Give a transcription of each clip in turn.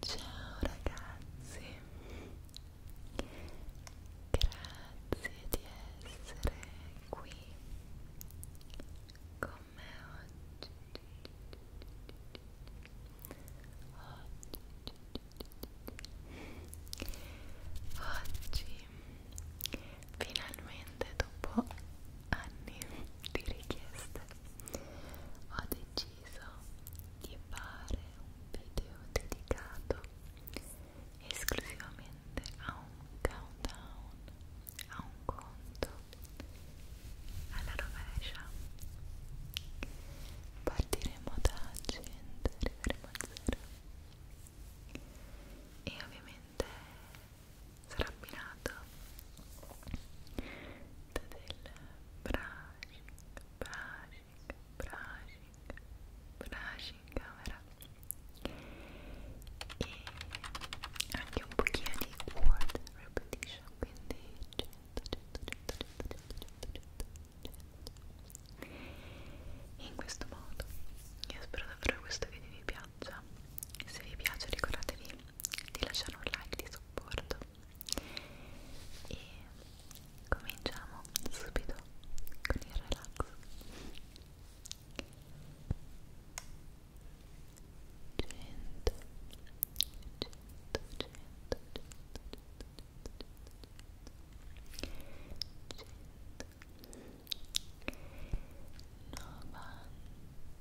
Ciao ragazzi, grazie di essere qui con me oggi. Oggi, oggi finalmente dopo anni di richieste ho deciso deciso di fare un video dedicato esclusivamente a un countdown, a un conto alla rovescia. Partiremo da 100 arriveremo a 0 e ovviamente sarà abbinato da del brushing, brushing, brushing, brushing camera e anche un pochino di word repetition quindi 100, 100, 100, 100, 100, 100, 100. E in questo modo io spero davvero che questo video vi piaccia se vi piace ricordatevi di lasciare un like di supporto e cominciamo subito con il relax cento, cento, cento, cento, cento, cento, novanta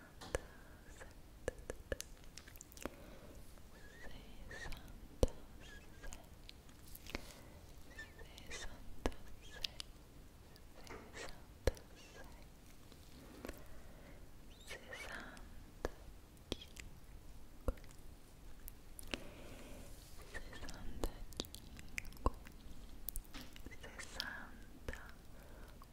sessantaquattro sessantacinque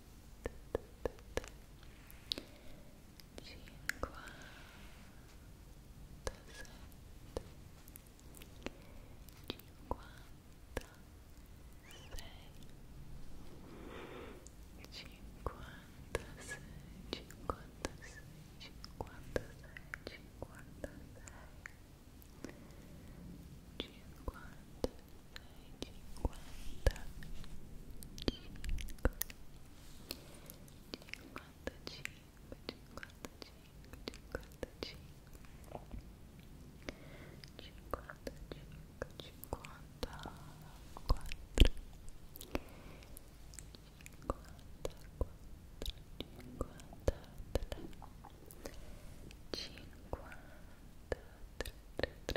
cinquantasei 53 50 50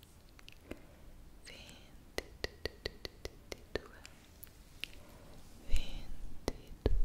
vinte e due, vinte e 21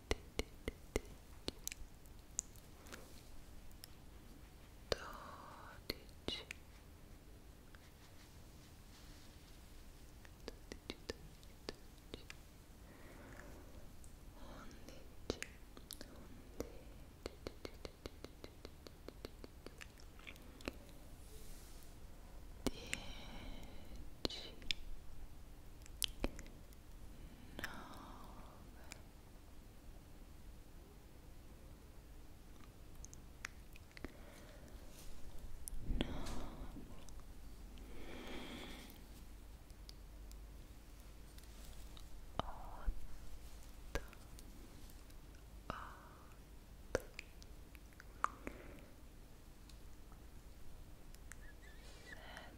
dodici Dieci, nove, no. Otto.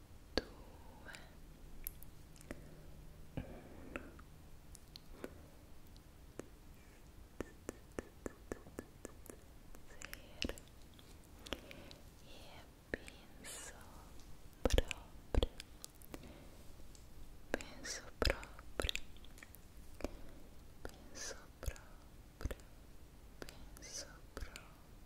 due, uno. Zero. E penso proprio, penso proprio, penso proprio, penso proprio.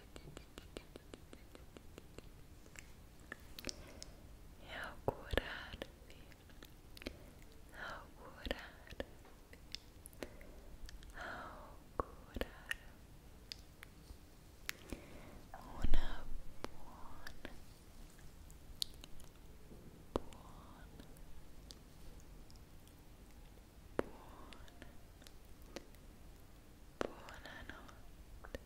Augurarvi, augurarvi, augurar una buona, buona, buona, buonanotte,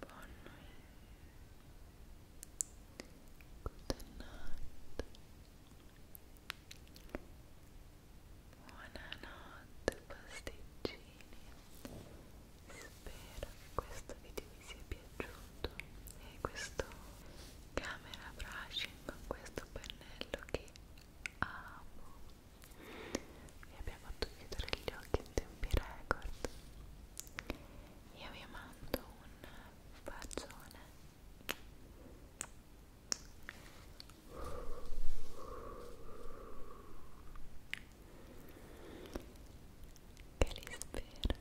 Buon Good night. Buonanotte pasticcini. Spero che questo video vi sia piaciuto e questo camera brushing con questo pennello che amo vi abbia fatto chiudere gli occhi in tempi record io vi mando un bacione che li spero